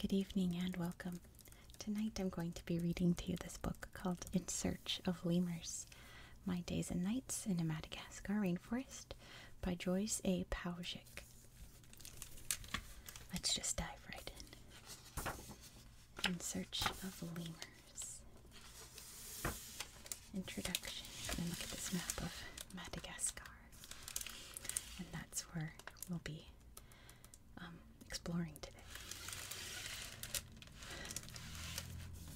Good evening and welcome. Tonight I'm going to be reading to you this book called In Search of Lemurs My Days and Nights in a Madagascar Rainforest by Joyce A. Powjick. Let's just dive right in. In Search of Lemurs. Introduction. And look at this map of Madagascar. And that's where we'll be um, exploring today.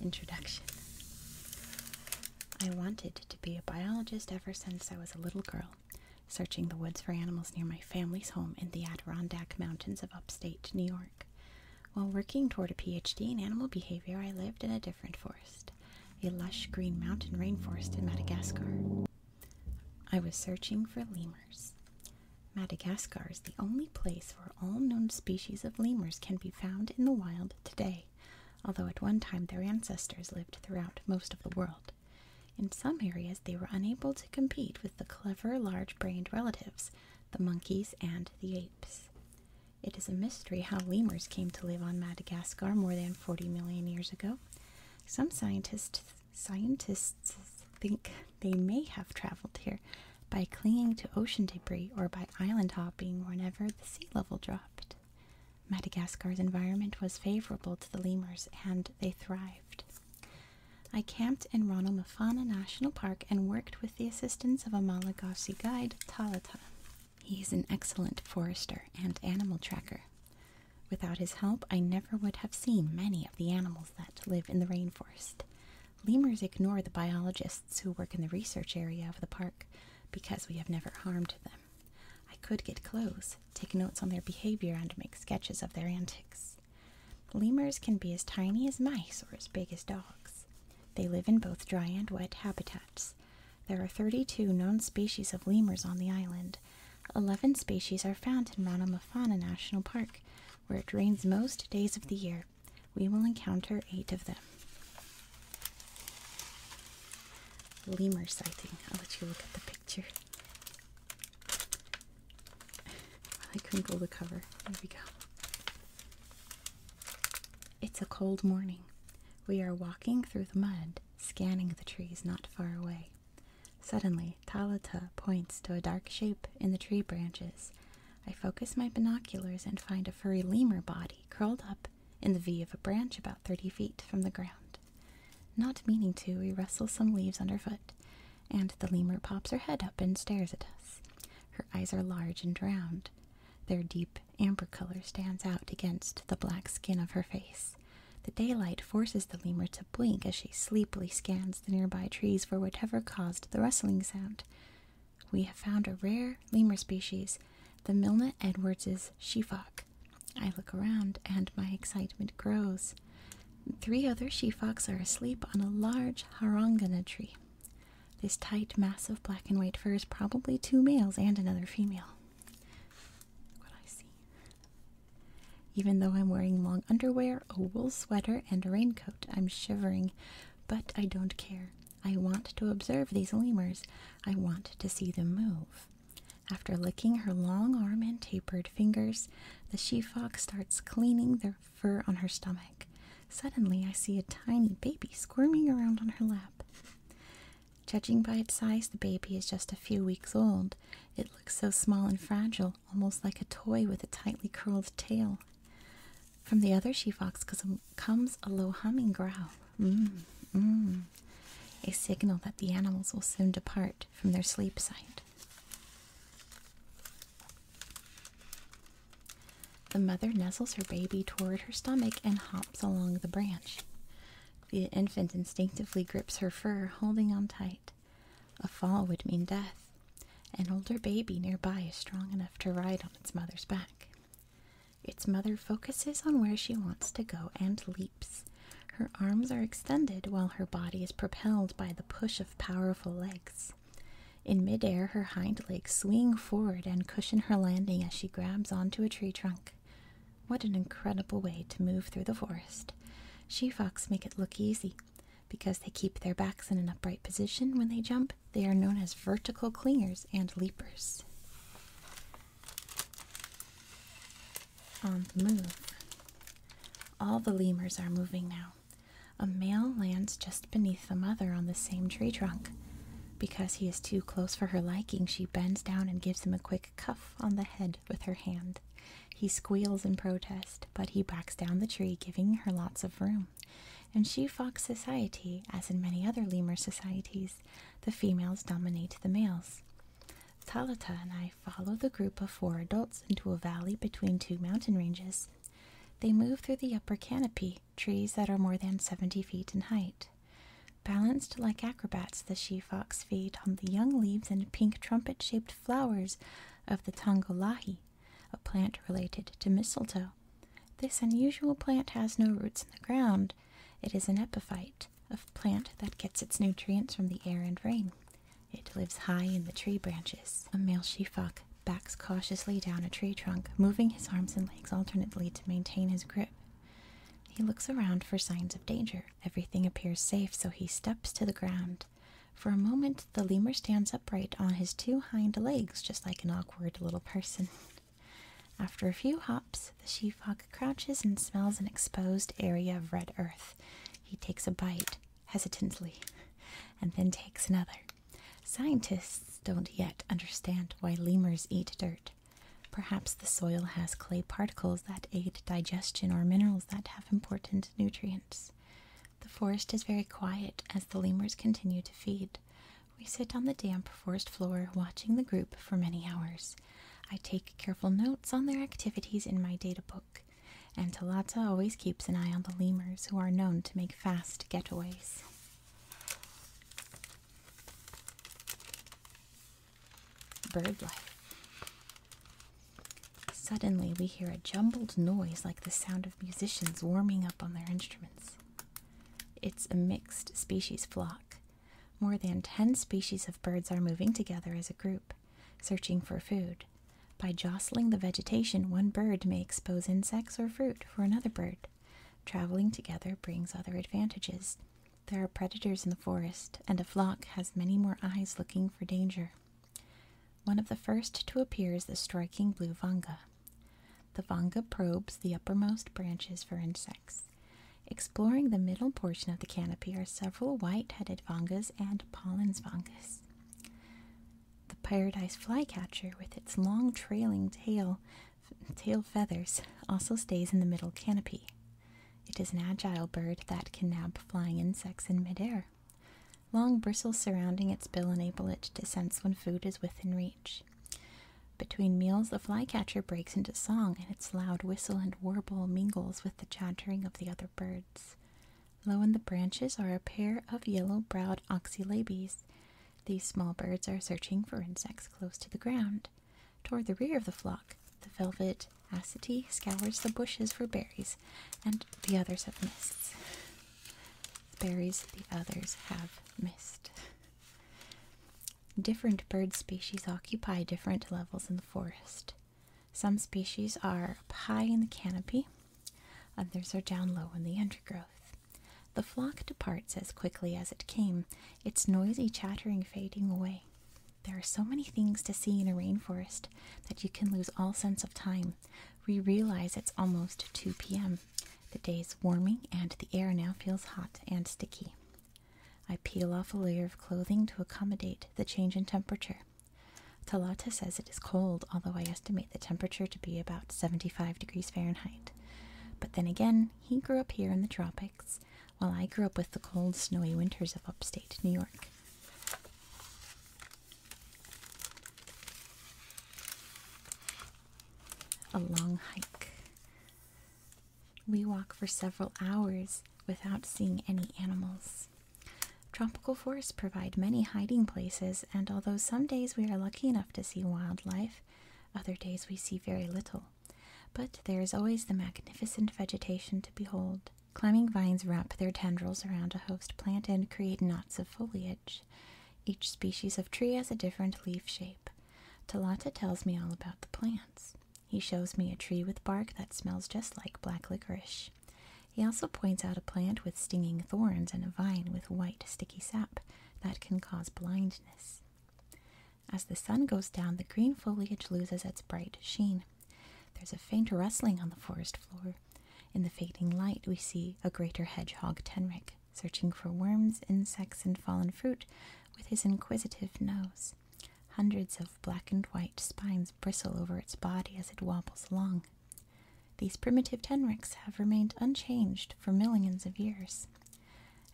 Introduction. I wanted to be a biologist ever since I was a little girl, searching the woods for animals near my family's home in the Adirondack Mountains of upstate. State, New York. While working toward a PhD in animal behavior, I lived in a different forest, a lush green mountain rainforest in Madagascar. I was searching for lemurs. Madagascar is the only place where all known species of lemurs can be found in the wild today, although at one time their ancestors lived throughout most of the world. In some areas, they were unable to compete with the clever, large brained relatives the monkeys, and the apes. It is a mystery how lemurs came to live on Madagascar more than 40 million years ago. Some scientists scientists think they may have traveled here by clinging to ocean debris or by island hopping whenever the sea level dropped. Madagascar's environment was favorable to the lemurs and they thrived. I camped in Ronald National Park and worked with the assistance of a Malagasy guide, Talata. He is an excellent forester and animal tracker. Without his help, I never would have seen many of the animals that live in the rainforest. Lemurs ignore the biologists who work in the research area of the park because we have never harmed them. I could get close, take notes on their behavior, and make sketches of their antics. Lemurs can be as tiny as mice or as big as dogs. They live in both dry and wet habitats. There are 32 known species of lemurs on the island. 11 species are found in Ranomafana National Park, where it rains most days of the year. We will encounter 8 of them. Lemur sighting. I'll let you look at the picture really crinkle the cover. There we go. It's a cold morning. We are walking through the mud, scanning the trees not far away. Suddenly, Talata points to a dark shape in the tree branches. I focus my binoculars and find a furry lemur body curled up in the V of a branch about 30 feet from the ground. Not meaning to, we rustle some leaves underfoot and the lemur pops her head up and stares at us. Her eyes are large and round. Their deep amber color stands out against the black skin of her face. The daylight forces the lemur to blink as she sleepily scans the nearby trees for whatever caused the rustling sound. We have found a rare lemur species, the Milne Edwards's shefock. I look around and my excitement grows. Three other she foxes are asleep on a large harangana tree. This tight mass of black and white fur is probably two males and another female. what I see. Even though I'm wearing long underwear, a wool sweater, and a raincoat, I'm shivering, but I don't care. I want to observe these lemurs. I want to see them move. After licking her long arm and tapered fingers, the she fox starts cleaning their fur on her stomach. Suddenly, I see a tiny baby squirming around on her lap. Judging by its size, the baby is just a few weeks old. It looks so small and fragile, almost like a toy with a tightly curled tail. From the other she fox comes a low humming growl. Mm, mm. A signal that the animals will soon depart from their sleep site. The mother nestles her baby toward her stomach and hops along the branch. The infant instinctively grips her fur, holding on tight. A fall would mean death. An older baby nearby is strong enough to ride on its mother's back. Its mother focuses on where she wants to go and leaps. Her arms are extended while her body is propelled by the push of powerful legs. In midair, her hind legs swing forward and cushion her landing as she grabs onto a tree trunk. What an incredible way to move through the forest. She foxes make it look easy. Because they keep their backs in an upright position when they jump, they are known as vertical clingers and leapers. On the move. All the lemurs are moving now. A male lands just beneath the mother on the same tree trunk. Because he is too close for her liking, she bends down and gives him a quick cuff on the head with her hand. He squeals in protest, but he backs down the tree, giving her lots of room. And she fox society, as in many other lemur societies, the females dominate the males. Talata and I follow the group of four adults into a valley between two mountain ranges. They move through the upper canopy, trees that are more than 70 feet in height. Balanced like acrobats, the she fox feed on the young leaves and pink trumpet shaped flowers of the tangolahi, a plant related to mistletoe. This unusual plant has no roots in the ground. It is an epiphyte, a plant that gets its nutrients from the air and rain. It lives high in the tree branches. A male sheephawk backs cautiously down a tree trunk, moving his arms and legs alternately to maintain his grip. He looks around for signs of danger. Everything appears safe, so he steps to the ground. For a moment, the lemur stands upright on his two hind legs, just like an awkward little person. After a few hops, the sheephawk crouches and smells an exposed area of red earth. He takes a bite, hesitantly, and then takes another. Scientists don't yet understand why lemurs eat dirt. Perhaps the soil has clay particles that aid digestion or minerals that have important nutrients. The forest is very quiet as the lemurs continue to feed. We sit on the damp forest floor watching the group for many hours. I take careful notes on their activities in my data book and Talata always keeps an eye on the lemurs who are known to make fast getaways. Bird life. Suddenly, we hear a jumbled noise like the sound of musicians warming up on their instruments. It's a mixed species flock. More than 10 species of birds are moving together as a group, searching for food, by jostling the vegetation, one bird may expose insects or fruit for another bird. Traveling together brings other advantages. There are predators in the forest, and a flock has many more eyes looking for danger. One of the first to appear is the striking blue vanga. The vanga probes the uppermost branches for insects. Exploring the middle portion of the canopy are several white headed vangas and Pollen's vangas. The paradise flycatcher, with its long trailing tail, tail feathers, also stays in the middle canopy. It is an agile bird that can nab flying insects in midair. Long bristles surrounding its bill enable it to sense when food is within reach. Between meals, the flycatcher breaks into song, and its loud whistle and warble mingles with the chattering of the other birds. Low in the branches are a pair of yellow browed oxylabes. These small birds are searching for insects close to the ground. Toward the rear of the flock, the velvet acety scours the bushes for berries, and the others have missed. berries the others have missed. Different bird species occupy different levels in the forest. Some species are up high in the canopy, Others are down low in the undergrowth. The flock departs as quickly as it came, its noisy chattering fading away. There are so many things to see in a rainforest that you can lose all sense of time. We realize it's almost 2 p.m. The day's warming and the air now feels hot and sticky. I peel off a layer of clothing to accommodate the change in temperature. Talata says it is cold, although I estimate the temperature to be about 75 degrees Fahrenheit. But then again, he grew up here in the tropics, while I grew up with the cold, snowy winters of upstate New York. A long hike. We walk for several hours without seeing any animals. Tropical forests provide many hiding places, and although some days we are lucky enough to see wildlife, other days we see very little. But there is always the magnificent vegetation to behold. Climbing vines wrap their tendrils around a host plant and create knots of foliage. Each species of tree has a different leaf shape. Talata tells me all about the plants. He shows me a tree with bark that smells just like black licorice. He also points out a plant with stinging thorns and a vine with white, sticky sap that can cause blindness. As the sun goes down, the green foliage loses its bright sheen. There's a faint rustling on the forest floor. In the fading light, we see a greater hedgehog tenric searching for worms, insects, and fallen fruit with his inquisitive nose. Hundreds of black and white spines bristle over its body as it wobbles along. These primitive tenricks have remained unchanged for millions of years.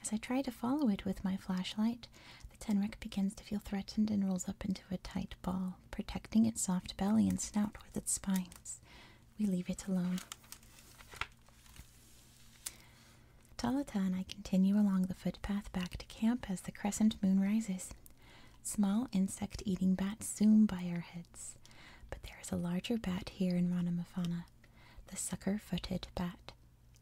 As I try to follow it with my flashlight, the tenric begins to feel threatened and rolls up into a tight ball, protecting its soft belly and snout with its spines. We leave it alone. Talata and I continue along the footpath back to camp as the crescent moon rises. Small insect eating bats zoom by our heads but there is a larger bat here in Rhinomophana, the sucker-footed bat.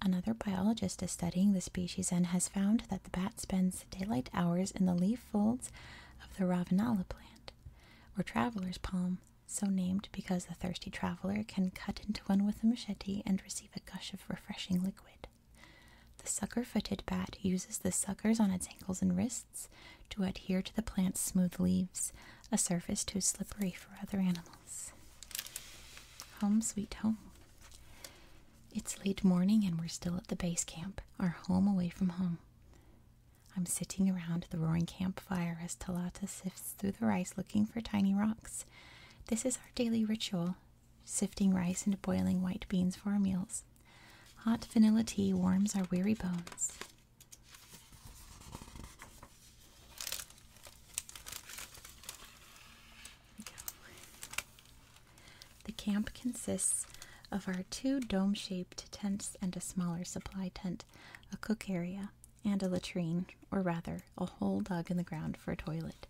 Another biologist is studying the species and has found that the bat spends daylight hours in the leaf folds of the Ravenala plant, or traveler's palm, so named because the thirsty traveler can cut into one with a machete and receive a gush of refreshing liquid. The sucker footed bat uses the suckers on its ankles and wrists to adhere to the plant's smooth leaves, a surface too slippery for other animals. Home sweet home. It's late morning and we're still at the base camp, our home away from home. I'm sitting around the roaring campfire as Talata sifts through the rice looking for tiny rocks. This is our daily ritual sifting rice and boiling white beans for our meals. Hot vanilla tea warms our weary bones. The camp consists of our two dome shaped tents and a smaller supply tent, a cook area, and a latrine, or rather, a hole dug in the ground for a toilet.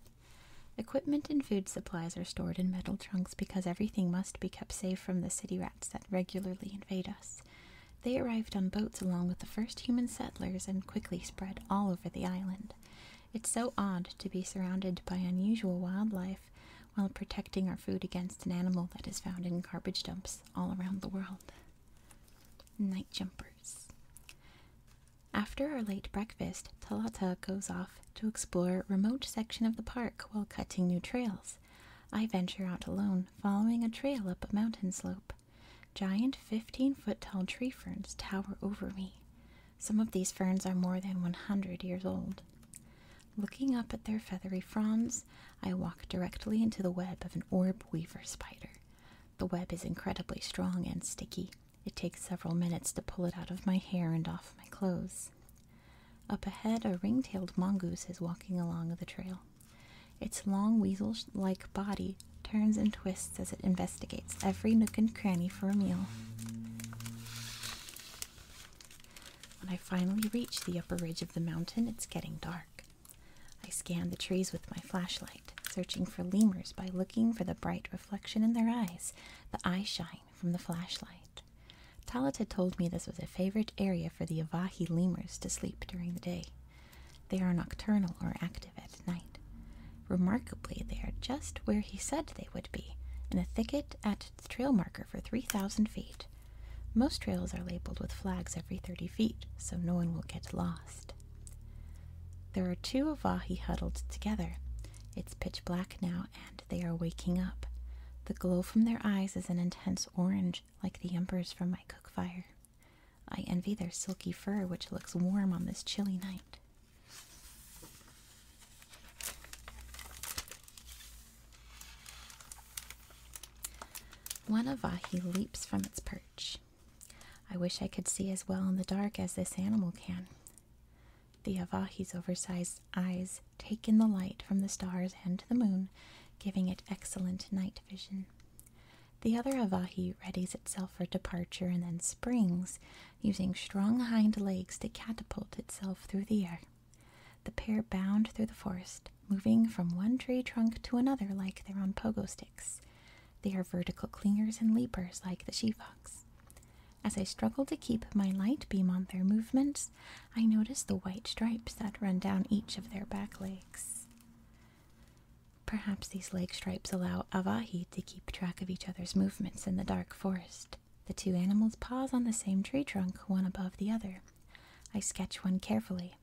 Equipment and food supplies are stored in metal trunks because everything must be kept safe from the city rats that regularly invade us. They arrived on boats along with the first human settlers and quickly spread all over the island. It's so odd to be surrounded by unusual wildlife while protecting our food against an animal that is found in garbage dumps all around the world. Night jumpers. After our late breakfast, Talata goes off to explore remote section of the park while cutting new trails. I venture out alone, following a trail up a mountain slope. Giant 15 foot tall tree ferns tower over me. Some of these ferns are more than 100 years old. Looking up at their feathery fronds, I walk directly into the web of an orb weaver spider. The web is incredibly strong and sticky. It takes several minutes to pull it out of my hair and off my clothes. Up ahead, a ring-tailed mongoose is walking along the trail. Its long weasel-like body turns and twists as it investigates every nook and cranny for a meal. When I finally reach the upper ridge of the mountain, it's getting dark. I scan the trees with my flashlight, searching for lemurs by looking for the bright reflection in their eyes, the eye shine from the flashlight. Talat had told me this was a favorite area for the Avahi lemurs to sleep during the day. They are nocturnal or active at night. Remarkably, they are just where he said they would be, in a thicket at trail marker for 3,000 feet. Most trails are labeled with flags every 30 feet, so no one will get lost. There are two Avahi huddled together. It's pitch black now, and they are waking up. The glow from their eyes is an intense orange like the embers from my cook fire. I envy their silky fur, which looks warm on this chilly night. One Avahi leaps from its perch. I wish I could see as well in the dark as this animal can. The Avahi's oversized eyes take in the light from the stars and the moon, giving it excellent night vision. The other Avahi readies itself for departure and then springs, using strong hind legs to catapult itself through the air. The pair bound through the forest, moving from one tree trunk to another like they're on pogo sticks. They are vertical clingers and leapers like the she fox. As I struggle to keep my light beam on their movements, I notice the white stripes that run down each of their back legs. Perhaps these leg stripes allow Avahi to keep track of each other's movements in the dark forest. The two animals pause on the same tree trunk, one above the other. I sketch one carefully.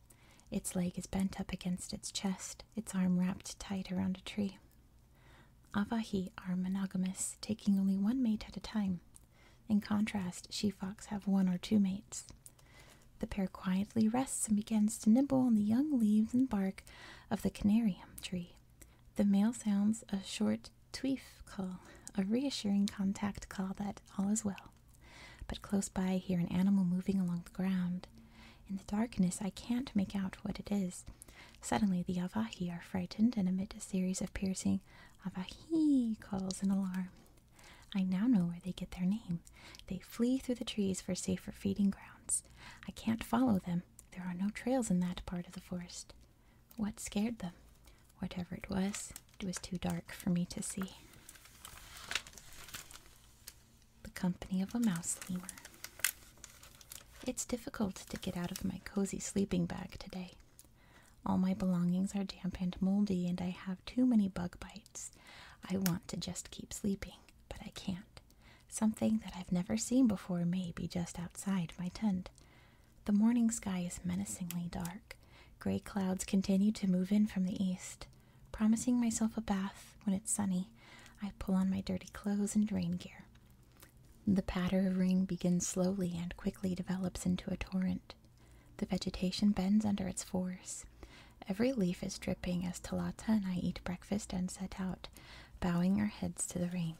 Its leg is bent up against its chest, its arm wrapped tight around a tree. Avahi are monogamous, taking only one mate at a time. In contrast, she-fox have one or two mates. The pair quietly rests and begins to nibble on the young leaves and bark of the canarium tree. The male sounds a short tweef call, a reassuring contact call that all is well. But close by, I hear an animal moving along the ground. In the darkness, I can't make out what it is. Suddenly, the Avahi are frightened and emit a series of piercing Avahi calls in alarm. I now know where they get their name. They flee through the trees for safer feeding grounds. I can't follow them. There are no trails in that part of the forest. What scared them? Whatever it was, it was too dark for me to see. The company of a mouse lemur. It's difficult to get out of my cozy sleeping bag today. All my belongings are damp and moldy, and I have too many bug bites. I want to just keep sleeping, but I can't. Something that I've never seen before may be just outside my tent. The morning sky is menacingly dark. Gray clouds continue to move in from the east. Promising myself a bath when it's sunny, I pull on my dirty clothes and rain gear. The patter of rain begins slowly and quickly develops into a torrent. The vegetation bends under its force. Every leaf is dripping as Talata and I eat breakfast and set out, bowing our heads to the rain.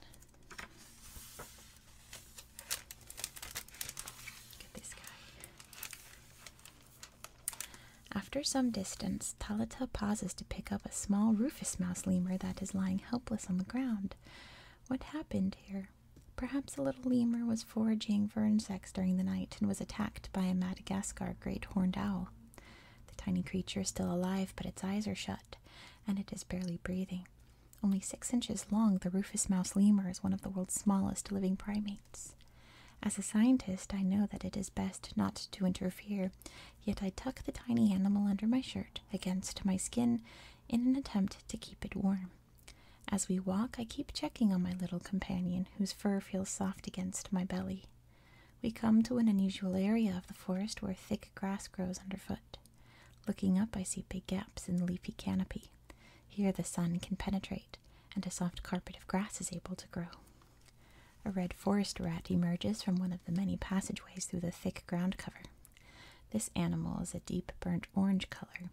After some distance, Talata pauses to pick up a small rufous Mouse lemur that is lying helpless on the ground. What happened here? Perhaps a little lemur was foraging for insects during the night and was attacked by a Madagascar great horned owl. The tiny creature is still alive, but its eyes are shut, and it is barely breathing. Only six inches long, the rufous mouse lemur is one of the world's smallest living primates. As a scientist, I know that it is best not to interfere, yet I tuck the tiny animal under my shirt against my skin in an attempt to keep it warm. As we walk, I keep checking on my little companion, whose fur feels soft against my belly. We come to an unusual area of the forest where thick grass grows underfoot. Looking up, I see big gaps in the leafy canopy. Here the sun can penetrate, and a soft carpet of grass is able to grow. A red forest rat emerges from one of the many passageways through the thick ground cover. This animal is a deep burnt orange color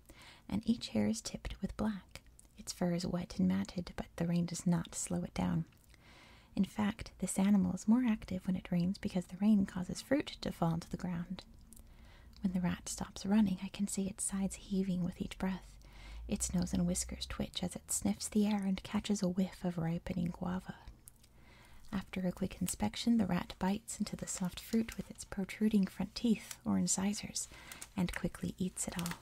and each hair is tipped with black. Its fur is wet and matted, but the rain does not slow it down. In fact, this animal is more active when it rains because the rain causes fruit to fall to the ground. When the rat stops running, I can see its sides heaving with each breath. Its nose and whiskers twitch as it sniffs the air and catches a whiff of ripening guava. After a quick inspection, the rat bites into the soft fruit with its protruding front teeth or incisors and quickly eats it all.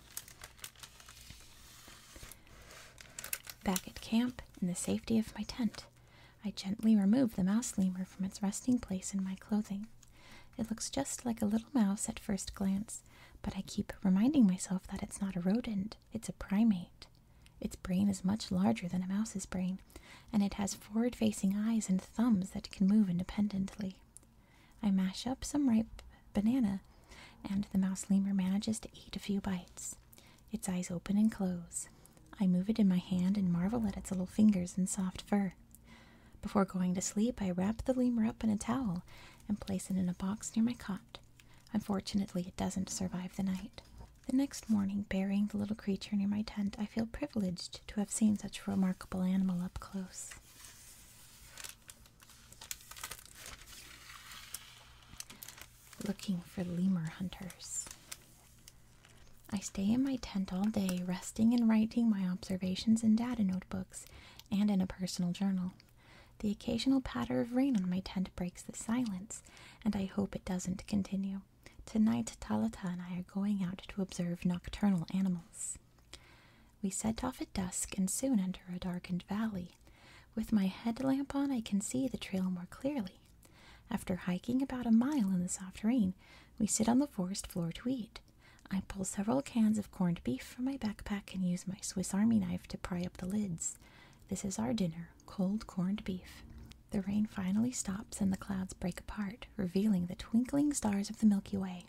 Back at camp, in the safety of my tent, I gently remove the mouse lemur from its resting place in my clothing. It looks just like a little mouse at first glance, but I keep reminding myself that it's not a rodent, it's a primate. Its brain is much larger than a mouse's brain, and it has forward facing eyes and thumbs that can move independently. I mash up some ripe banana, and the mouse lemur manages to eat a few bites. Its eyes open and close. I move it in my hand and marvel at its little fingers and soft fur. Before going to sleep, I wrap the lemur up in a towel and place it in a box near my cot. Unfortunately, it doesn't survive the night. The next morning, burying the little creature near my tent, I feel privileged to have seen such a remarkable animal up close. Looking for lemur hunters. I stay in my tent all day, resting and writing my observations in data notebooks and in a personal journal. The occasional patter of rain on my tent breaks the silence, and I hope it doesn't continue. Tonight, Talata and I are going out to observe nocturnal animals. We set off at dusk and soon enter a darkened valley. With my headlamp on, I can see the trail more clearly. After hiking about a mile in the soft rain, we sit on the forest floor to eat. I pull several cans of corned beef from my backpack and use my Swiss Army knife to pry up the lids. This is our dinner cold corned beef. The rain finally stops and the clouds break apart, revealing the twinkling stars of the Milky Way.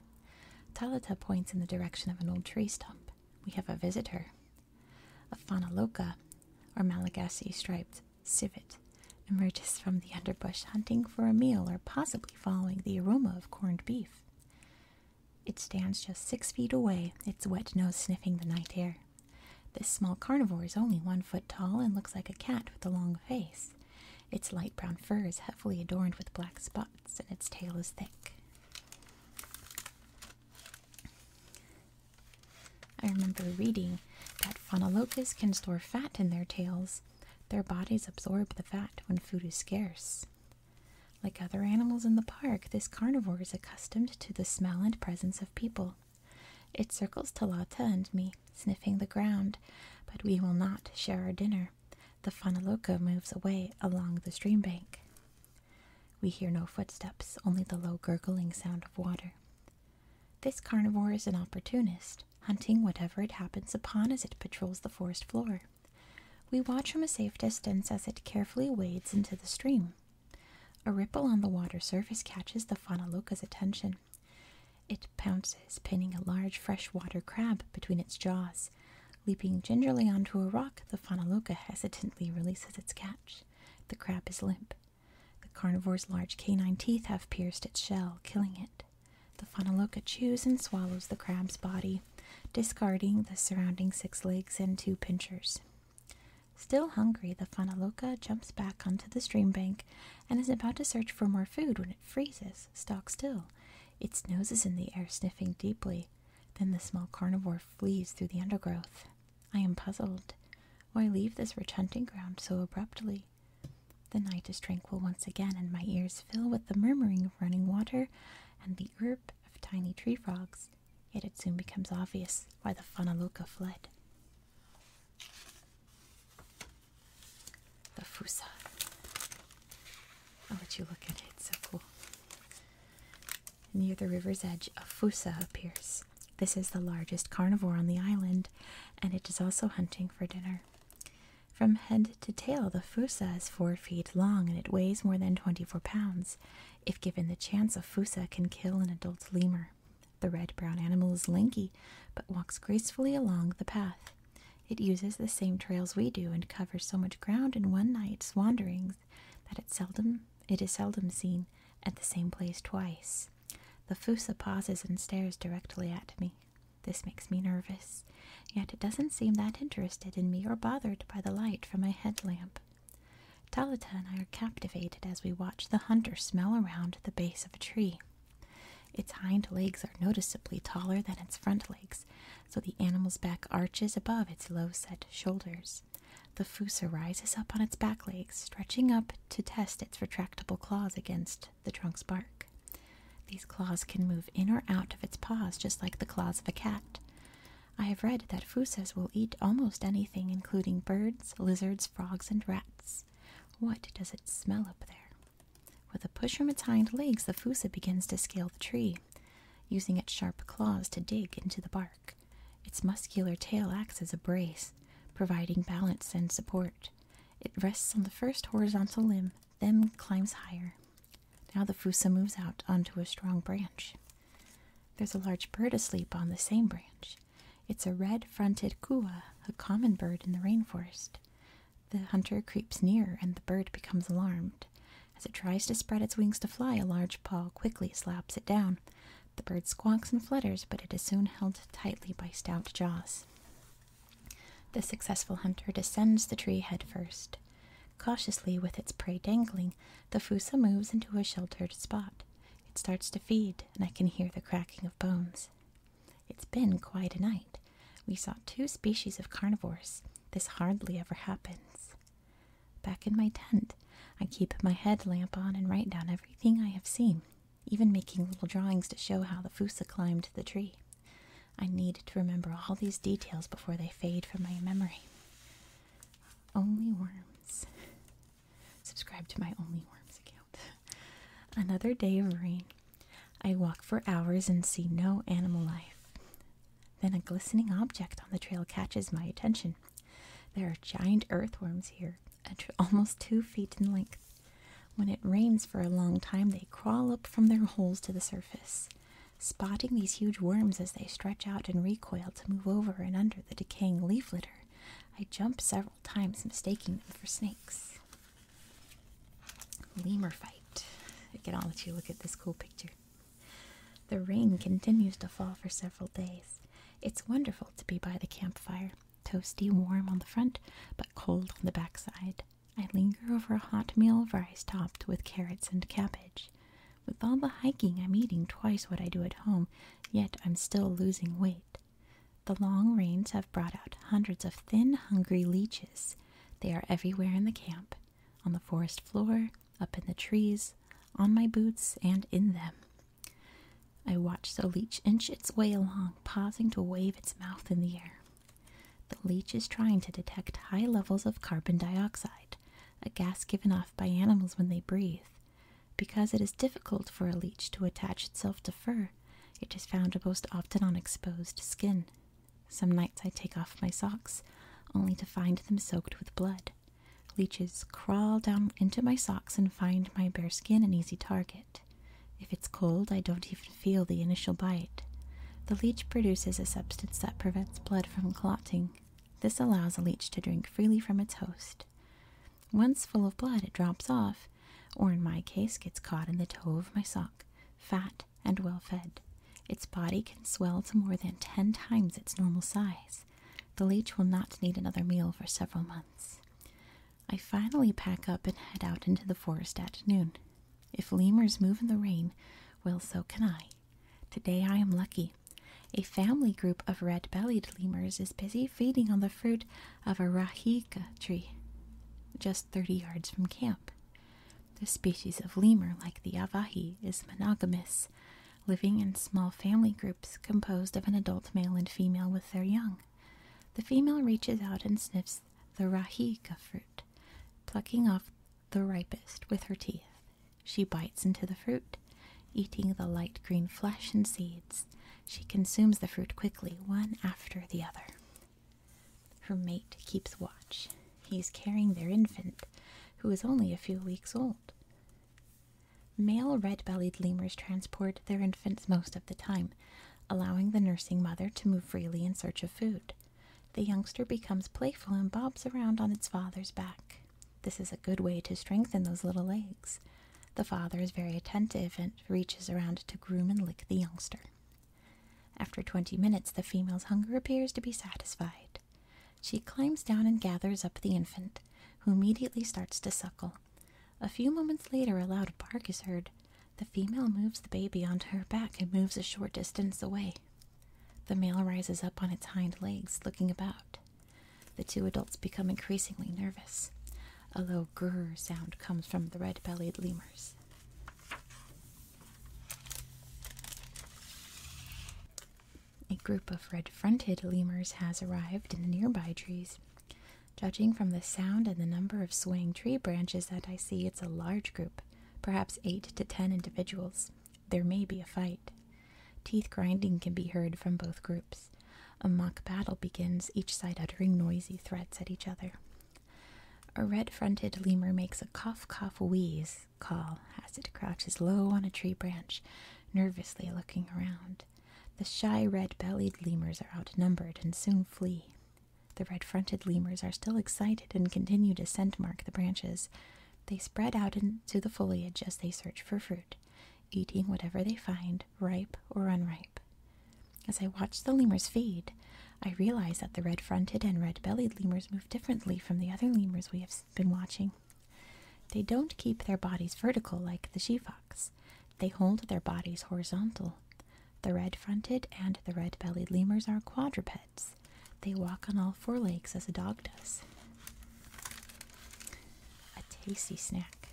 Talata points in the direction of an old tree stump. We have a visitor. A Fanaloka, or Malagasy striped civet, emerges from the underbrush, hunting for a meal or possibly following the aroma of corned beef. It stands just six feet away, its wet nose sniffing the night air. This small carnivore is only one foot tall and looks like a cat with a long face. Its light brown fur is heavily adorned with black spots, and its tail is thick. I remember reading that Phonolocus can store fat in their tails. Their bodies absorb the fat when food is scarce. Like other animals in the park, this carnivore is accustomed to the smell and presence of people. It circles Talata and me, sniffing the ground, but we will not share our dinner. The Fonaloka moves away along the stream bank. We hear no footsteps, only the low gurgling sound of water. This carnivore is an opportunist, hunting whatever it happens upon as it patrols the forest floor. We watch from a safe distance as it carefully wades into the stream. A ripple on the water surface catches the Fonaloka's attention. It pounces, pinning a large freshwater crab between its jaws. Leaping gingerly onto a rock, the Fonaloka hesitantly releases its catch. The crab is limp. The carnivore's large canine teeth have pierced its shell, killing it. The Fonaloka chews and swallows the crab's body, discarding the surrounding six legs and two pinchers. Still hungry, the Fonaloka jumps back onto the stream bank and is about to search for more food when it freezes, stock still, its nose is in the air, sniffing deeply. Then the small carnivore flees through the undergrowth. I am puzzled. Why leave this rich hunting ground so abruptly? The night is tranquil once again, and my ears fill with the murmuring of running water and the chirp of tiny tree frogs. Yet it soon becomes obvious why the Fanaloka fled the Fusa. I'll let you look at it, it's so cool. Near the river's edge, a Fusa appears. This is the largest carnivore on the island, and it is also hunting for dinner. From head to tail, the Fusa is four feet long and it weighs more than 24 pounds. If given the chance, a Fusa can kill an adult lemur. The red brown animal is lanky but walks gracefully along the path. It uses the same trails we do and covers so much ground in one night's wanderings that it seldom it is seldom seen at the same place twice. The Fusa pauses and stares directly at me. This makes me nervous, yet it doesn't seem that interested in me or bothered by the light from my headlamp. Talita and I are captivated as we watch the hunter smell around the base of a tree. Its hind legs are noticeably taller than its front legs, so the animal's back arches above its low set shoulders. The fusa rises up on its back legs, stretching up to test its retractable claws against the trunk's bark. These claws can move in or out of its paws just like the claws of a cat. I have read that fusas will eat almost anything, including birds, lizards, frogs, and rats. What does it smell up there? With a push from its hind legs, the fusa begins to scale the tree, using its sharp claws to dig into the bark. Its muscular tail acts as a brace, providing balance and support. It rests on the first horizontal limb, then climbs higher. Now the fusa moves out onto a strong branch. There's a large bird asleep on the same branch. It's a red fronted kua, a common bird in the rainforest. The hunter creeps nearer, and the bird becomes alarmed. As it tries to spread its wings to fly, a large paw quickly slaps it down. The bird squawks and flutters, but it is soon held tightly by stout jaws. The successful hunter descends the tree headfirst. Cautiously, with its prey dangling, the fusa moves into a sheltered spot. It starts to feed, and I can hear the cracking of bones. It's been quite a night. We saw two species of carnivores. This hardly ever happens. Back in my tent, I keep my head lamp on and write down everything I have seen, even making little drawings to show how the fusa climbed the tree. I need to remember all these details before they fade from my memory. Only Worms. Subscribe to my Only Worms account. Another day of rain. I walk for hours and see no animal life. Then a glistening object on the trail catches my attention. There are giant earthworms here, almost two feet in length. When it rains for a long time, they crawl up from their holes to the surface, spotting these huge worms as they stretch out and recoil to move over and under the decaying leaf litter. I jump several times, mistaking them for snakes. Lemur fight. Again, I'll let you look at this cool picture. The rain continues to fall for several days. It's wonderful to be by the campfire, toasty warm on the front, but cold on the backside. I linger over a hot meal of rice topped with carrots and cabbage. With all the hiking, I'm eating twice what I do at home, yet I'm still losing weight. The long rains have brought out hundreds of thin, hungry leeches. They are everywhere in the camp, on the forest floor, up in the trees, on my boots, and in them. I watch the leech inch its way along, pausing to wave its mouth in the air. The leech is trying to detect high levels of carbon dioxide, a gas given off by animals when they breathe. Because it is difficult for a leech to attach itself to fur, it is found most often on exposed skin. Some nights I take off my socks, only to find them soaked with blood. Leeches crawl down into my socks and find my bare skin an easy target. If it's cold, I don't even feel the initial bite. The leech produces a substance that prevents blood from clotting. This allows a leech to drink freely from its host. Once full of blood, it drops off, or in my case, gets caught in the toe of my sock. Fat and well fed. Its body can swell to more than 10 times its normal size. The leech will not need another meal for several months. I finally pack up and head out into the forest at noon. If lemurs move in the rain, well, so can I. Today I am lucky. A family group of red bellied lemurs is busy feeding on the fruit of a rahica tree just 30 yards from camp. This species of lemur, like the Avahi, is monogamous, living in small family groups composed of an adult male and female with their young. The female reaches out and sniffs the rahiga fruit, plucking off the ripest with her teeth. She bites into the fruit, eating the light green flesh and seeds. She consumes the fruit quickly, one after the other. Her mate keeps watch. He is carrying their infant, who is only a few weeks old. Male red bellied lemurs transport their infants most of the time, allowing the nursing mother to move freely in search of food. The youngster becomes playful and bobs around on its father's back. This is a good way to strengthen those little legs. The father is very attentive and reaches around to groom and lick the youngster. After twenty minutes, the female's hunger appears to be satisfied. She climbs down and gathers up the infant, who immediately starts to suckle. A few moments later, a loud bark is heard. The female moves the baby onto her back and moves a short distance away. The male rises up on its hind legs, looking about. The two adults become increasingly nervous. A low grrr sound comes from the red bellied lemurs. A group of red fronted lemurs has arrived in the nearby trees. Judging from the sound and the number of swaying tree branches that I see, it's a large group, perhaps eight to ten individuals. There may be a fight. Teeth grinding can be heard from both groups. A mock battle begins, each side uttering noisy threats at each other. A red fronted lemur makes a cough cough wheeze call as it crouches low on a tree branch, nervously looking around. The shy red bellied lemurs are outnumbered and soon flee. The red fronted lemurs are still excited and continue to scent mark the branches. They spread out into the foliage as they search for fruit, eating whatever they find, ripe or unripe. As I watch the lemurs feed, I realize that the red fronted and red bellied lemurs move differently from the other lemurs we have been watching. They don't keep their bodies vertical like the she fox, they hold their bodies horizontal. The red fronted and the red bellied lemurs are quadrupeds. They walk on all four legs as a dog does. A tasty snack.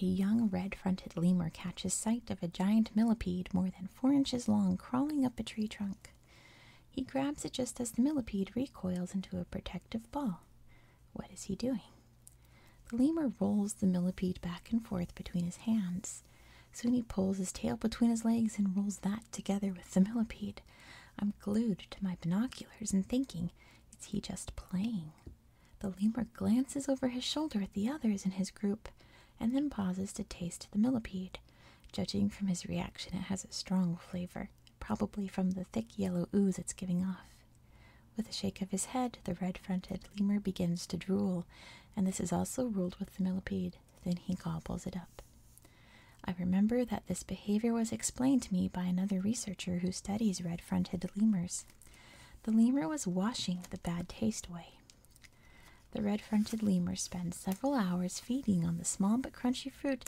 A young red fronted lemur catches sight of a giant millipede more than four inches long, crawling up a tree trunk. He grabs it just as the millipede recoils into a protective ball. What is he doing? The lemur rolls the millipede back and forth between his hands. Soon he pulls his tail between his legs and rolls that together with the millipede. I'm glued to my binoculars and thinking, is he just playing? The lemur glances over his shoulder at the others in his group and then pauses to taste the millipede. Judging from his reaction, it has a strong flavor, probably from the thick yellow ooze it's giving off. With a shake of his head, the red fronted lemur begins to drool, and this is also ruled with the millipede. Then he gobbles it up. I remember that this behavior was explained to me by another researcher who studies red fronted lemurs. The lemur was washing the bad taste away, the red-fronted lemurs spend several hours feeding on the small but crunchy fruit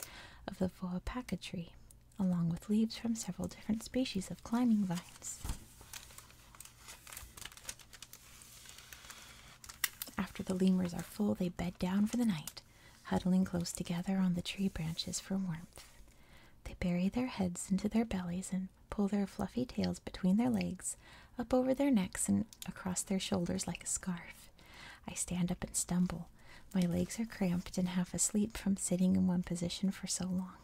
of the Voapaca tree, along with leaves from several different species of climbing vines. After the lemurs are full, they bed down for the night, huddling close together on the tree branches for warmth. They bury their heads into their bellies and pull their fluffy tails between their legs, up over their necks, and across their shoulders like a scarf. I stand up and stumble. My legs are cramped and half asleep from sitting in one position for so long.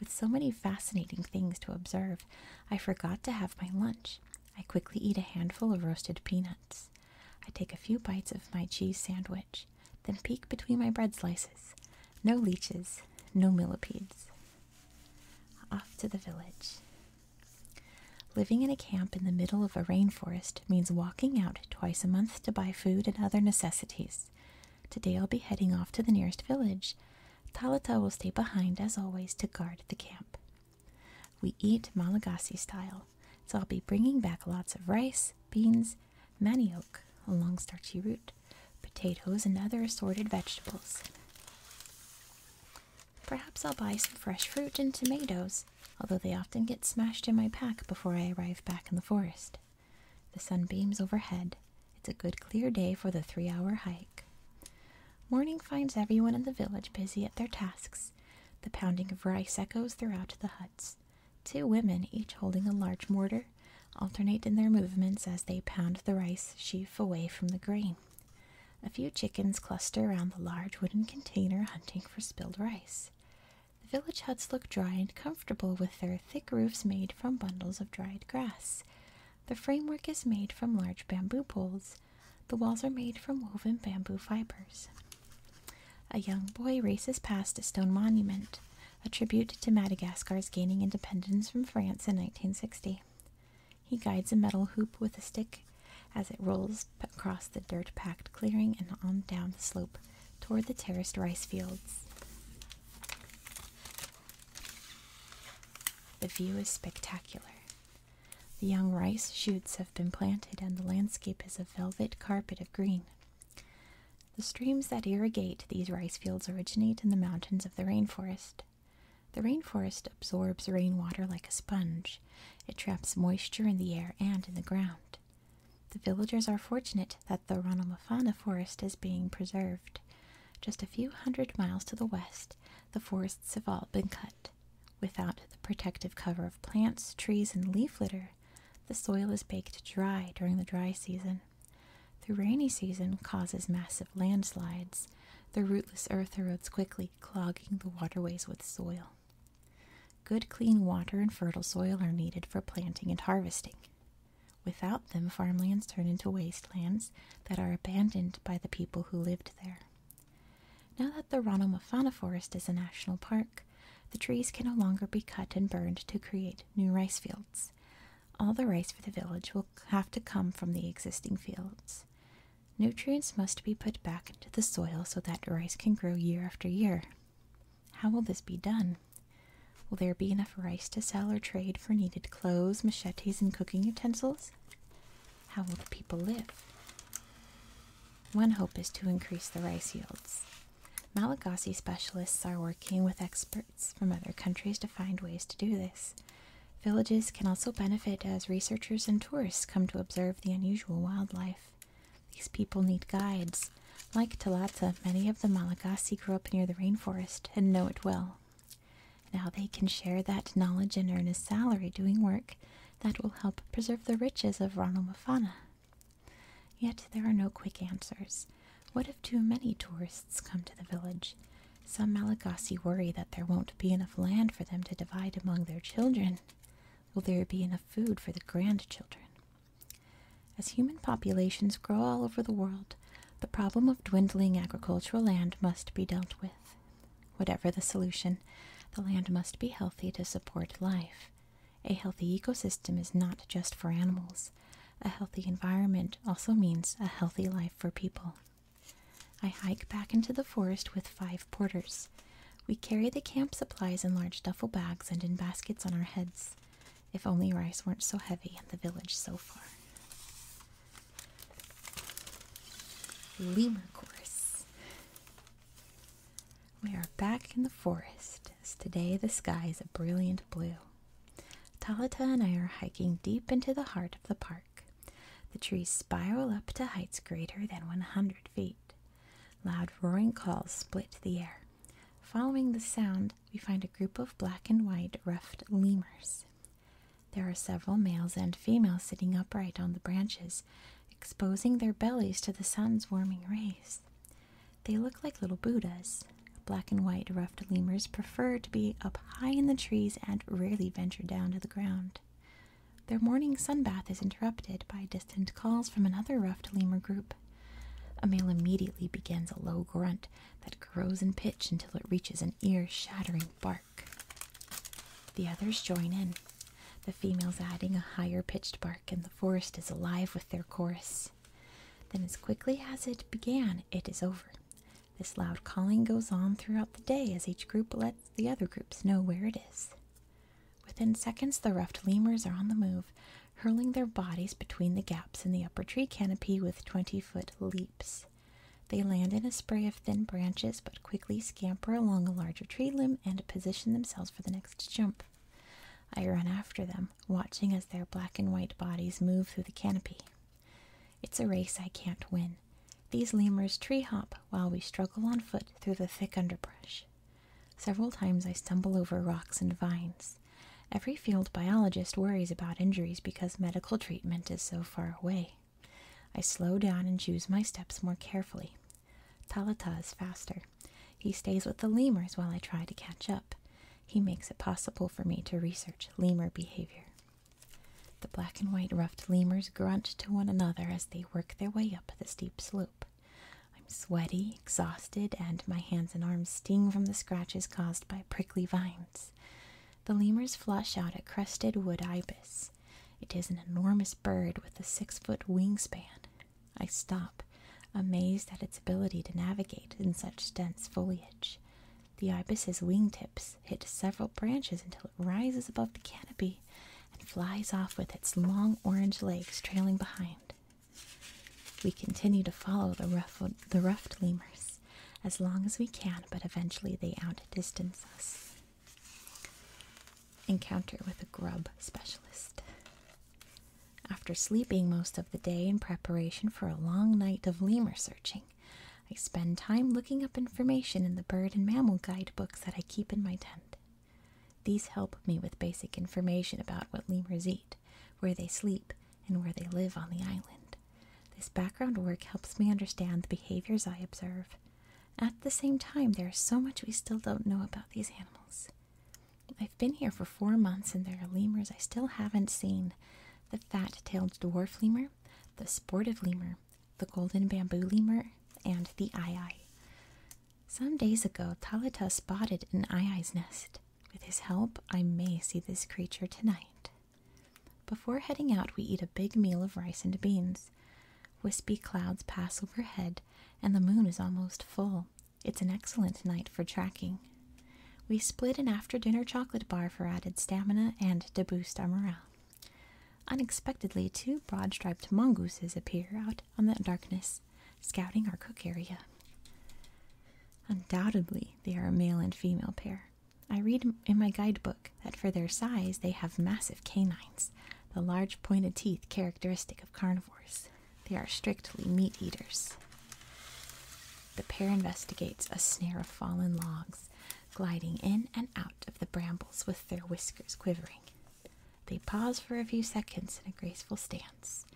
With so many fascinating things to observe, I forgot to have my lunch. I quickly eat a handful of roasted peanuts. I take a few bites of my cheese sandwich, then peek between my bread slices. No leeches, no millipedes. Off to the village. Living in a camp in the middle of a rainforest means walking out twice a month to buy food and other necessities. Today I'll be heading off to the nearest village. Talata will stay behind, as always, to guard the camp. We eat Malagasy style, so I'll be bringing back lots of rice, beans, manioc, a long starchy root, potatoes, and other assorted vegetables. Perhaps I'll buy some fresh fruit and tomatoes, although they often get smashed in my pack before I arrive back in the forest. The sun beams overhead. It's a good clear day for the three hour hike. Morning finds everyone in the village busy at their tasks. The pounding of rice echoes throughout the huts. Two women, each holding a large mortar, alternate in their movements as they pound the rice sheaf away from the grain. A few chickens cluster around the large wooden container hunting for spilled rice. The village huts look dry and comfortable with their thick roofs made from bundles of dried grass. The framework is made from large bamboo poles. The walls are made from woven bamboo fibers. A young boy races past a stone monument, a tribute to Madagascar's gaining independence from France in 1960. He guides a metal hoop with a stick as it rolls across the dirt packed clearing and on down the slope toward the terraced rice fields. The view is spectacular. The young rice shoots have been planted, and the landscape is a velvet carpet of green. The streams that irrigate these rice fields originate in the mountains of the rainforest. The rainforest absorbs rainwater like a sponge. It traps moisture in the air and in the ground. The villagers are fortunate that the Ronomafana forest is being preserved. Just a few hundred miles to the west, the forests have all been cut. Without the protective cover of plants, trees, and leaf litter, the soil is baked dry during the dry season. The rainy season causes massive landslides the rootless earth erodes quickly, clogging the waterways with soil. Good, clean water and fertile soil are needed for planting and harvesting. Without them, farmlands turn into wastelands that are abandoned by the people who lived there. Now that the Ronoma Forest is a national park, the trees can no longer be cut and burned to create new rice fields. All the rice for the village will have to come from the existing fields. Nutrients must be put back into the soil so that rice can grow year after year. How will this be done? Will there be enough rice to sell or trade for needed clothes, machetes, and cooking utensils? How will the people live? One hope is to increase the rice yields. Malagasy specialists are working with experts from other countries to find ways to do this. Villages can also benefit as researchers and tourists come to observe the unusual wildlife. These people need guides. Like Talata, many of the Malagasy grew up near the rainforest and know it well. Now they can share that knowledge and earn a salary doing work that will help preserve the riches of Ranomafana. Yet there are no quick answers. What if too many tourists come to the village? Some Malagasy worry that there won't be enough land for them to divide among their children. Will there be enough food for the grandchildren? As human populations grow all over the world, the problem of dwindling agricultural land must be dealt with. Whatever the solution, the land must be healthy to support life. A healthy ecosystem is not just for animals. A healthy environment also means a healthy life for people. I hike back into the forest with five porters. We carry the camp supplies in large duffel bags and in baskets on our heads. If only rice weren't so heavy and the village so far. Lemur Chorus. We are back in the forest, as today the sky is a brilliant blue. Talata and I are hiking deep into the heart of the park. The trees spiral up to heights greater than 100 feet. Loud roaring calls split the air. Following the sound, we find a group of black and white ruffed lemurs. There are several males and females sitting upright on the branches, exposing their bellies to the sun's warming rays. They look like little Buddhas. Black and white ruffed lemurs prefer to be up high in the trees and rarely venture down to the ground. Their morning sun bath is interrupted by distant calls from another ruffed lemur group. A male immediately begins a low grunt that grows in pitch until it reaches an ear shattering bark. The others join in, the females adding a higher pitched bark, and the forest is alive with their chorus. Then, as quickly as it began, it is over. This loud calling goes on throughout the day as each group lets the other groups know where it is. Within seconds, the ruffed lemurs are on the move, hurling their bodies between the gaps in the upper tree canopy with twenty foot leaps. They land in a spray of thin branches but quickly scamper along a larger tree limb and position themselves for the next jump. I run after them, watching as their black and white bodies move through the canopy. It's a race I can't win. These lemurs tree hop while we struggle on foot through the thick underbrush. Several times I stumble over rocks and vines. Every field biologist worries about injuries because medical treatment is so far away. I slow down and choose my steps more carefully. Talata is faster. He stays with the lemurs while I try to catch up. He makes it possible for me to research lemur behavior. The black and white ruffed lemurs grunt to one another as they work their way up the steep slope. I'm sweaty, exhausted, and my hands and arms sting from the scratches caused by prickly vines. The lemurs flush out a crested wood ibis. It is an enormous bird with a six foot wingspan. I stop, amazed at its ability to navigate in such dense foliage. The ibis's wingtips this hits several branches until it rises above the canopy and flies off with its long orange legs trailing behind. We continue to follow the, ruffled, the ruffed lemurs as long as we can, but eventually they outdistance us. Encounter with a grub specialist. After sleeping most of the day in preparation for a long night of lemur searching, I spend time looking up information in the bird and mammal guidebooks that I keep in my tent. These help me with basic information about what lemurs eat, where they sleep, and where they live on the island. This background work helps me understand the behaviors I observe. At the same time, there is so much we still don't know about these animals. I've been here for four months and there are lemurs I still haven't seen the fat tailed dwarf lemur, the sportive lemur, the golden bamboo lemur, and the ai ai. Some days ago, Talita spotted an ai ai's nest. With his help, I may see this creature tonight. Before heading out, we eat a big meal of rice and beans. Wispy clouds pass overhead, and the moon is almost full. It's an excellent night for tracking. We split an after dinner chocolate bar for added stamina and to boost our morale. Unexpectedly, two broad striped mongooses appear out on the darkness, scouting our cook area. Undoubtedly, they are a male and female pair. I read in my guidebook that for their size they have massive canines, the large pointed teeth characteristic of carnivores. They are strictly meat eaters. The pair investigates a snare of fallen logs gliding in and out of the brambles with their whiskers quivering. They pause for a few seconds in a graceful stance.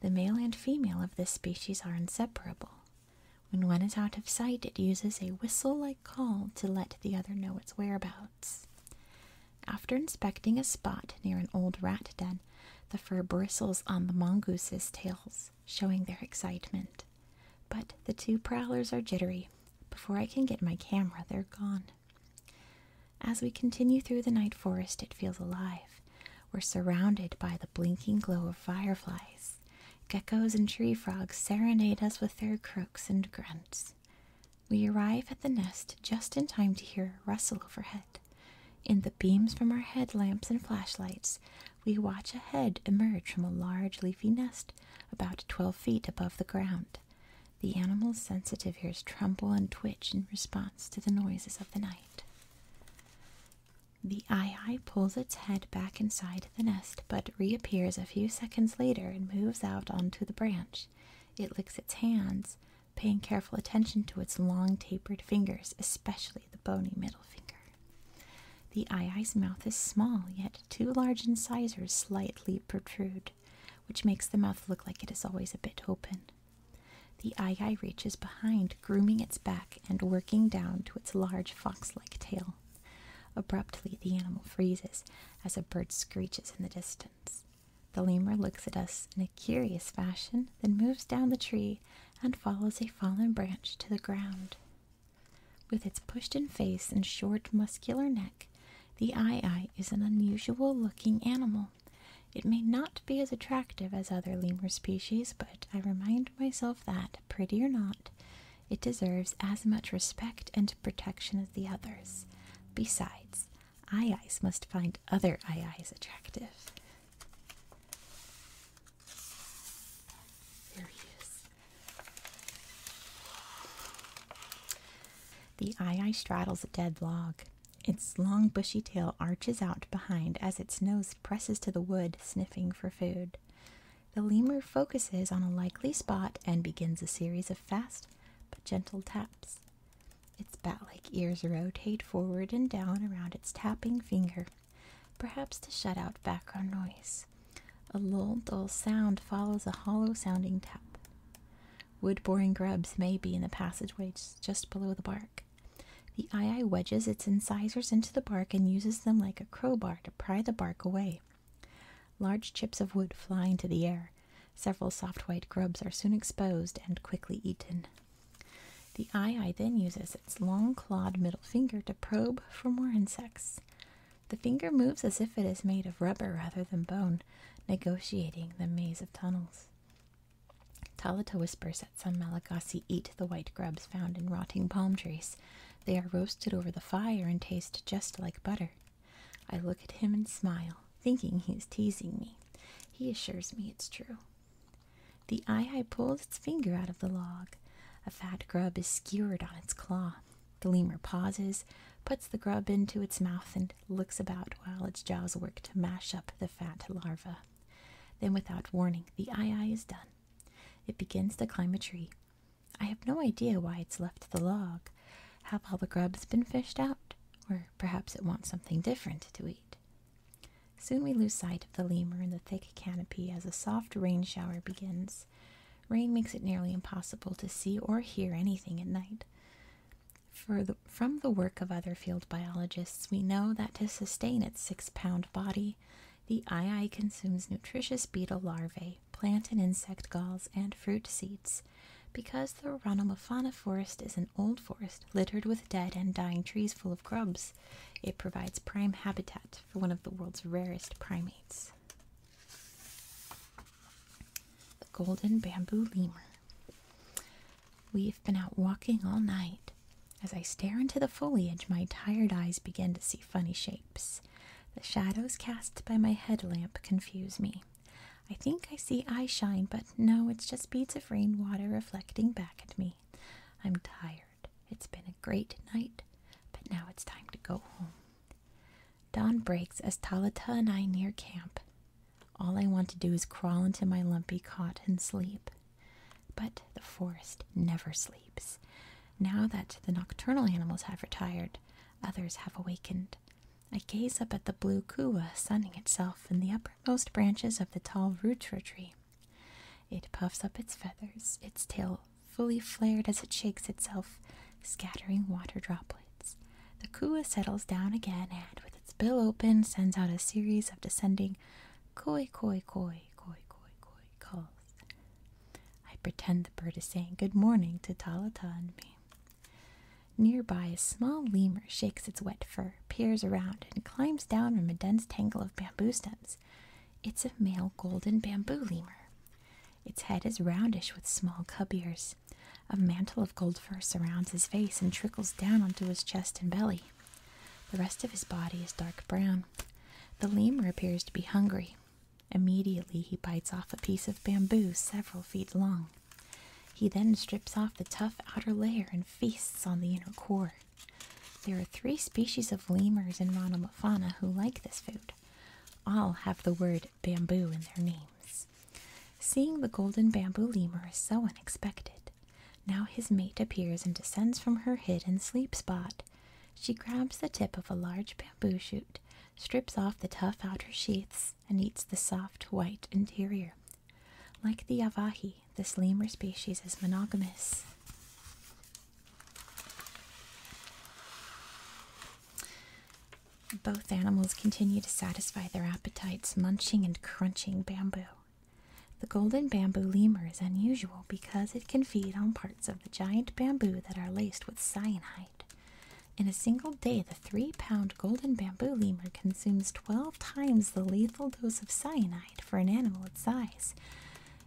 The male and female of this species are inseparable. When one is out of sight, it uses a whistle like call to let the other know its whereabouts. After inspecting a spot near an old rat den, the fur bristles on the mongoose's tails, showing their excitement. But the two prowlers are jittery. Before I can get my camera, they're gone. As we continue through the night forest, it feels alive. We're surrounded by the blinking glow of fireflies. Geckos and tree frogs serenade us with their croaks and grunts. We arrive at the nest just in time to hear rustle overhead. In the beams from our headlamps and flashlights, we watch a head emerge from a large leafy nest about twelve feet above the ground. The animal's sensitive ears tremble and twitch in response to the noises of the night. The eye pulls its head back inside the nest, but reappears a few seconds later and moves out onto the branch. It licks its hands, paying careful attention to its long tapered fingers, especially the bony middle finger. The ayeye's mouth is small, yet two large incisors slightly protrude, which makes the mouth look like it is always a bit open. The ayeye reaches behind, grooming its back and working down to its large fox-like tail. Abruptly, the animal freezes as a bird screeches in the distance. The lemur looks at us in a curious fashion, then moves down the tree and follows a fallen branch to the ground. With its pushed-in face and short, muscular neck, the eye-eye is an unusual-looking animal. It may not be as attractive as other lemur species, but I remind myself that, pretty or not, it deserves as much respect and protection as the others. Besides, eye eyes must find other eye eyes attractive. There he is. The eye eye straddles a dead log. Its long bushy tail arches out behind as its nose presses to the wood, sniffing for food. The lemur focuses on a likely spot and begins a series of fast but gentle taps. Its bat like ears rotate forward and down around its tapping finger, perhaps to shut out background noise. A low, dull sound follows a hollow sounding tap. Wood boring grubs may be in the passageways just below the bark. The eye eye wedges its incisors into the bark and uses them like a crowbar to pry the bark away. Large chips of wood fly into the air. Several soft white grubs are soon exposed and quickly eaten. The eye eye then uses its long clawed middle finger to probe for more insects. The finger moves as if it is made of rubber rather than bone, negotiating the maze of tunnels. Talata whispers that some Malagasy eat the white grubs found in rotting palm trees. They are roasted over the fire and taste just like butter. I look at him and smile, thinking he is teasing me. He assures me it's true. The eye pulls its finger out of the log. A fat grub is skewered on its claw. The lemur pauses, puts the grub into its mouth, and looks about while its jaws work to mash up the fat larva. Then, without warning, the eye eye is done. It begins to climb a tree. I have no idea why it's left the log. Have all the grubs been fished out? Or perhaps it wants something different to eat. Soon we lose sight of the lemur in the thick canopy as a soft rain shower begins. Rain makes it nearly impossible to see or hear anything at night. from the work of other field biologists, we know that to sustain its six pound body, the ii consumes nutritious beetle larvae, plant and insect galls, and fruit seeds. Because the Ronomophana forest is an old forest littered with dead and dying trees full of grubs, it provides prime habitat for one of the world's rarest primates. The golden bamboo lemur. We've been out walking all night. As I stare into the foliage, my tired eyes begin to see funny shapes. The shadows cast by my headlamp confuse me. I think I see eye shine, but no, it's just beads of rainwater reflecting back at me. I'm tired. It's been a great night, but now it's time to go home. Dawn breaks as Talata and I near camp. All I want to do is crawl into my lumpy cot and sleep. But the forest never sleeps. Now that the nocturnal animals have retired, others have awakened. I gaze up at the blue kua sunning itself in the uppermost branches of the tall rutra tree. It puffs up its feathers, its tail fully flared as it shakes itself, scattering water droplets. The kua settles down again and, with its bill open, sends out a series of descending koi koi koi koi koi koi calls. I pretend the bird is saying good morning to Talata and me. Nearby, a small lemur shakes its wet fur, peers around, and climbs down from a dense tangle of bamboo stems. It's a male golden bamboo lemur. Its head is roundish with small cub ears. A mantle of gold fur surrounds his face and trickles down onto his chest and belly. The rest of his body is dark brown. The lemur appears to be hungry. Immediately he bites off a piece of bamboo several feet long. He then strips off the tough outer layer and feasts on the inner core. There are three species of lemurs in Ranamuffana who like this food. All have the word bamboo in their names. Seeing the golden bamboo lemur is so unexpected. Now his mate appears and descends from her hidden sleep spot. She grabs the tip of a large bamboo shoot, strips off the tough outer sheaths, and eats the soft white interior. Like the Avahi, this lemur species is monogamous. Both animals continue to satisfy their appetites, munching and crunching bamboo. The golden bamboo lemur is unusual because it can feed on parts of the giant bamboo that are laced with cyanide. In a single day, the three pound golden bamboo lemur consumes 12 times the lethal dose of cyanide for an animal its size.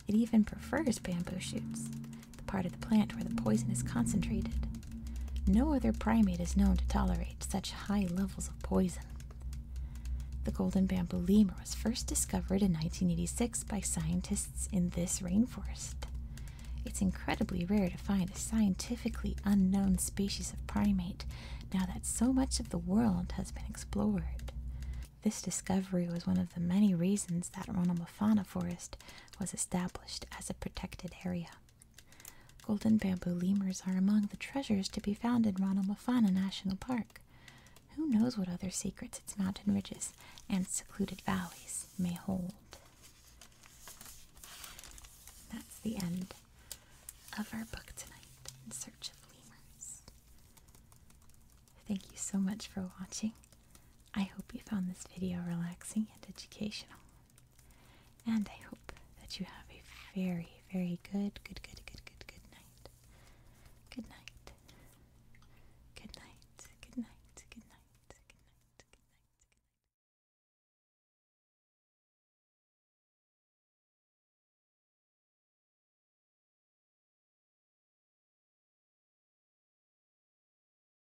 It even prefers bamboo shoots the part of the plant where the poison is concentrated. No other primate is known to tolerate such high levels of poison. The golden bamboo lemur was first discovered in 1986 by scientists in this rainforest. It's incredibly rare to find a scientifically unknown species of primate now that so much of the world has been explored. This discovery was one of the many reasons that Ronomophana forest was established as a protected area. Golden bamboo lemurs are among the treasures to be found in Ranamuffana National Park. Who knows what other secrets its mountain ridges and secluded valleys may hold? That's the end of our book tonight in search of lemurs. Thank you so much for watching. I hope you found this video relaxing and educational. And I hope that you have a very, very good, good, good, good, good, good night. Good night. Good night. Good night. Good night. Good night. Good night. Good night.